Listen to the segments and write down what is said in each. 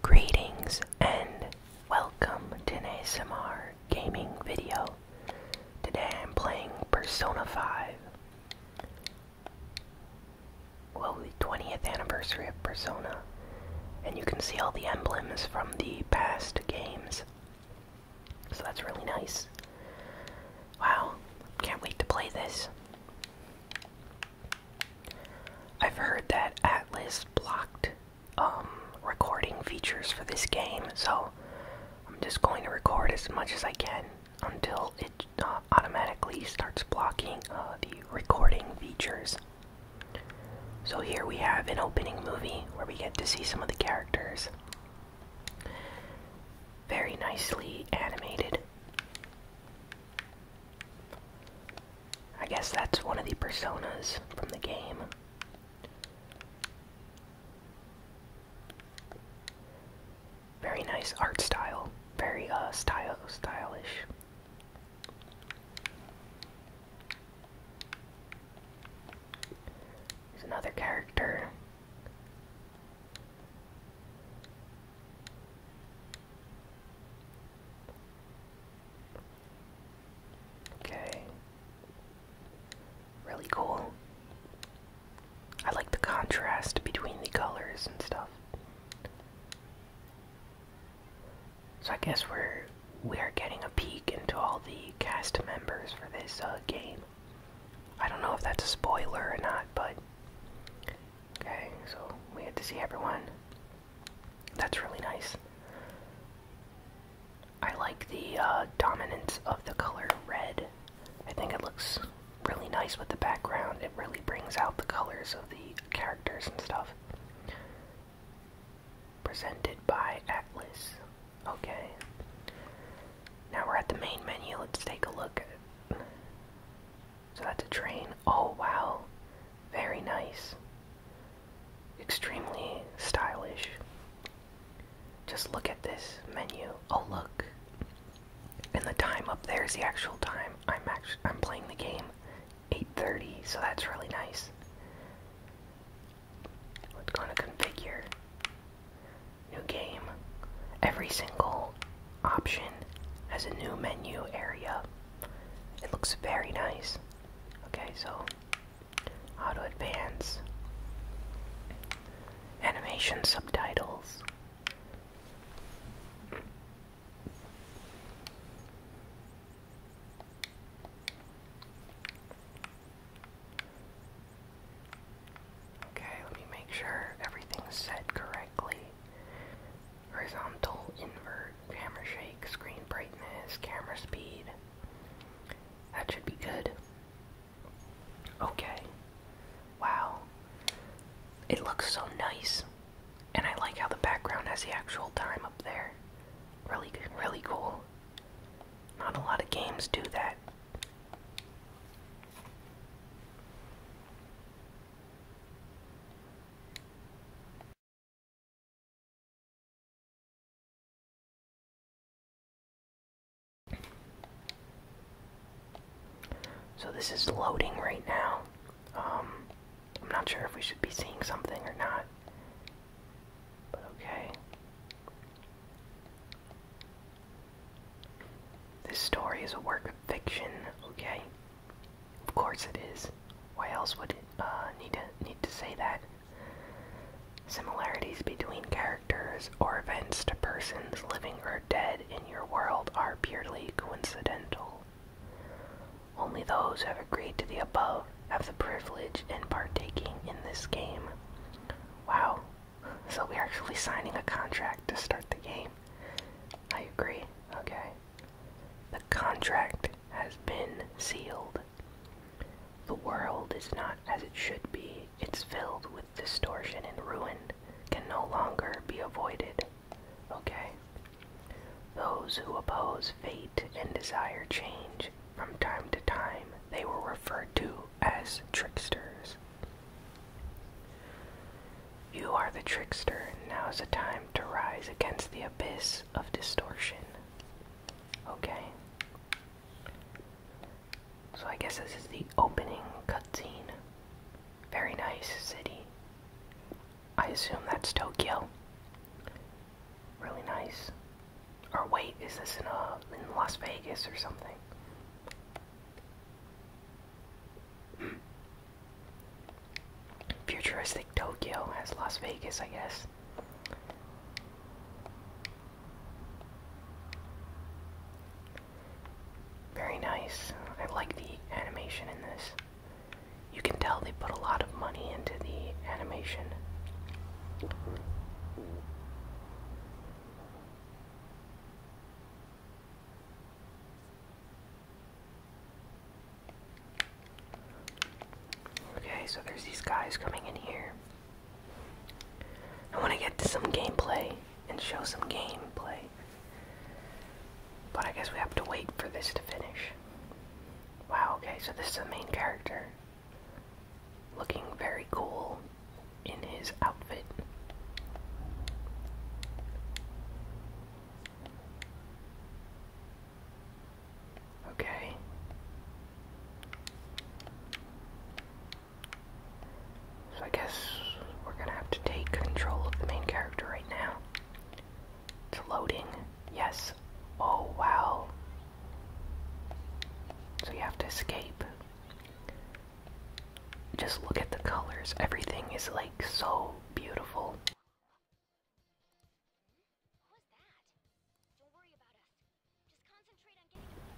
Greetings and welcome to an ASMR gaming video. Today I'm playing Persona 5. Well, the 20th anniversary of Persona. And you can see all the emblems from the past games. So that's really nice. Wow, can't wait to play this. I've heard that Atlas blocked um, recording features for this game, so I'm just going to record as much as I can until it uh, automatically starts blocking uh, the recording features. So here we have an opening movie where we get to see some of the characters. Very nicely animated. I guess that's one of the personas from the game. Very nice art style. Very uh style stylish. There's another character. Okay. Really cool. I like the contrast between the colors and stuff. So I guess we're we're getting a peek into all the cast members for this uh, game. I don't know if that's a spoiler or not, but okay. So we get to see everyone. That's really nice. I like the uh, dominance of the color red. I think it looks really nice with the background. It really brings out the colors of the characters and stuff. Presented by Atlas. Okay. Now we're at the main menu. Let's take a look. So that's a train. Oh wow. Very nice. Extremely stylish. Just look at this menu. Oh look. And the time up there is the actual time I'm actually I'm playing the game. 8:30, so that's really nice. Let's go to configure. New game. Every single option has a new menu area. It looks very nice. Okay, so how to advance animation subtitles. Okay, let me make sure everything's set correctly horizontal, invert, camera shake, screen brightness, camera speed. That should be good. Okay. Wow. It looks so nice. And I like how the background has the actual time up there. Really, really cool. Not a lot of games do that. So this is loading right now. Um, I'm not sure if we should be seeing something or not. But okay. This story is a work of fiction, okay? Of course it is. Why else would it uh, need to need to say that? Similarities between characters or events to persons living or dead in your world are purely coincidental. Only those who have agreed to the above have the privilege in partaking in this game. Wow. So we're actually signing a contract to start the game. I agree. Okay. The contract has been sealed. The world is not as it should be. It's filled with distortion and ruin, can no longer be avoided. Okay? Those who oppose fate and desire change from time to time, they were referred to as tricksters. You are the trickster, and now is the time to rise against the abyss of distortion. Okay. So I guess this is the opening cutscene. Very nice city. I assume that's Tokyo. Really nice. Or wait, is this in, uh, Las Vegas or something? Futuristic Tokyo as Las Vegas, I guess. Very nice. I like the animation in this. You can tell they put a lot of money into the animation. Okay, so there's these guys coming in here. I want to get to some gameplay and show some gameplay. But I guess we have to wait for this to finish. Wow, okay, so this is the main character. Looking very cool in his outfit. Okay. So I guess we're gonna have to take control of the main character right now. It's loading. Yes. Oh, wow. So you have to escape. Just look at the colors. Everything is like so beautiful.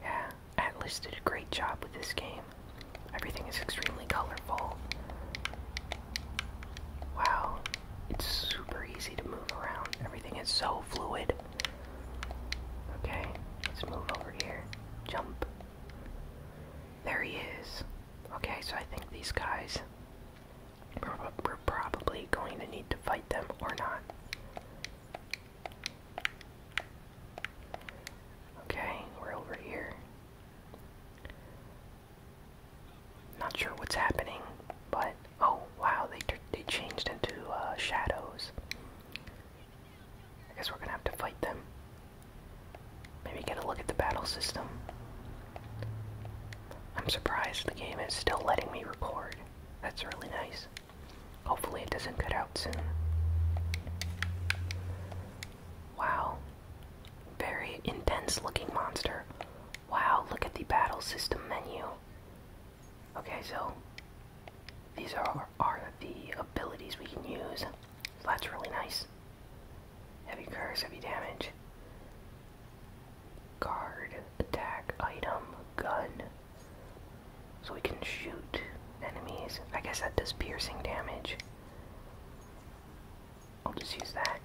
Yeah, Atlas did a great job with this game. Everything is extremely colorful. Wow, it's super easy to move around. Everything is so fluid. Okay, let's move over here. Jump. There he is. Okay, so I think these guys we're, probably going to need to fight them or not. Okay, we're over here. Not sure what's happening, but oh wow, they they changed into uh, shadows. I guess we're gonna have to fight them. Maybe get a look at the battle system. I'm surprised the game is still letting me record. That's really nice. Hopefully, it doesn't cut out soon. Wow. Very intense looking monster. Wow, look at the battle system menu. Okay, so these are, are the abilities we can use. So that's really nice. Heavy curse, heavy damage. Guard, attack, item, gun. So we can shoot enemies. I guess that does piercing damage. I'll just use that.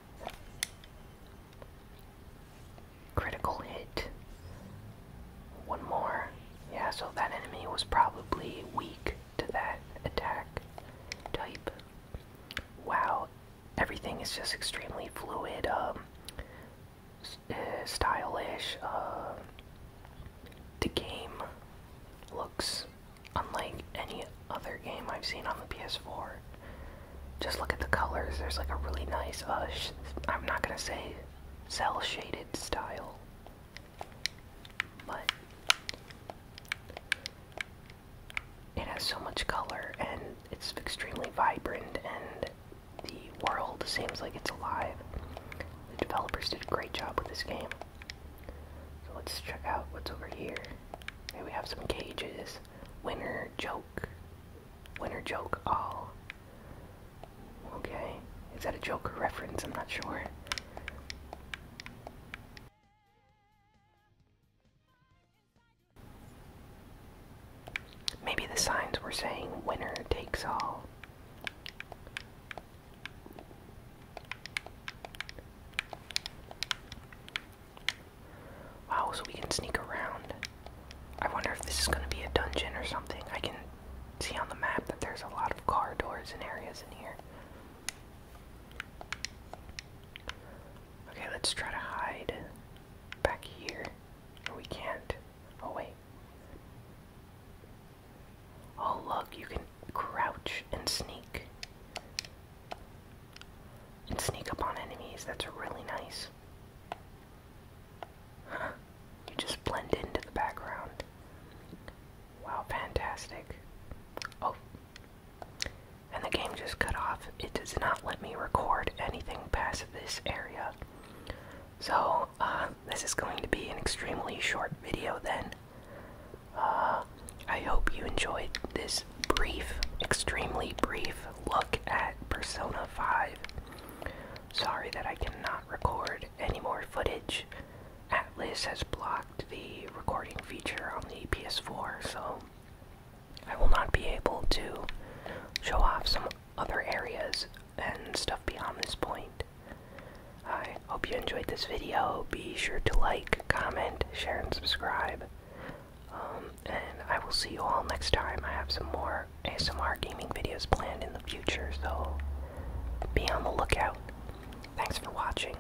Critical hit. One more. Yeah, so that enemy was probably weak to that attack type. Wow, everything is just extremely fluid, um, eh, stylish. Um, the game looks unlike any other game I've seen on the PS4. Just look at the colors. There's like a really nice, uh, I'm not gonna say cell shaded style, but it has so much color and it's extremely vibrant and the world seems like it's alive. The developers did a great job with this game. So let's check out what's over here. Here we have some cages. Winner joke. Winner joke all. Okay. Is that a joke or reference? I'm not sure. Maybe the signs were saying winner takes all. Wow, so we can sneak around. I wonder if this is going to be a dungeon or something. I can see on the map that there's a lot of car doors and areas in here. Okay, let's try to hide back here. We can't. Oh, wait. Oh, look, you can crouch and sneak. And sneak up on enemies. That's really nice. You just blend into the background. Wow, fantastic. Oh. And the game just cut off. It does not let me record anything this area. So, uh, this is going to be an extremely short video then. Uh, I hope you enjoyed this brief, extremely brief look at Persona 5. Sorry that I cannot record any more footage. Atlas has blocked the recording feature on the PS4, so I will not be able to show off some other areas and stuff beyond this point. I hope you enjoyed this video. Be sure to like, comment, share, and subscribe. Um, and I will see you all next time. I have some more ASMR gaming videos planned in the future, so be on the lookout. Thanks for watching.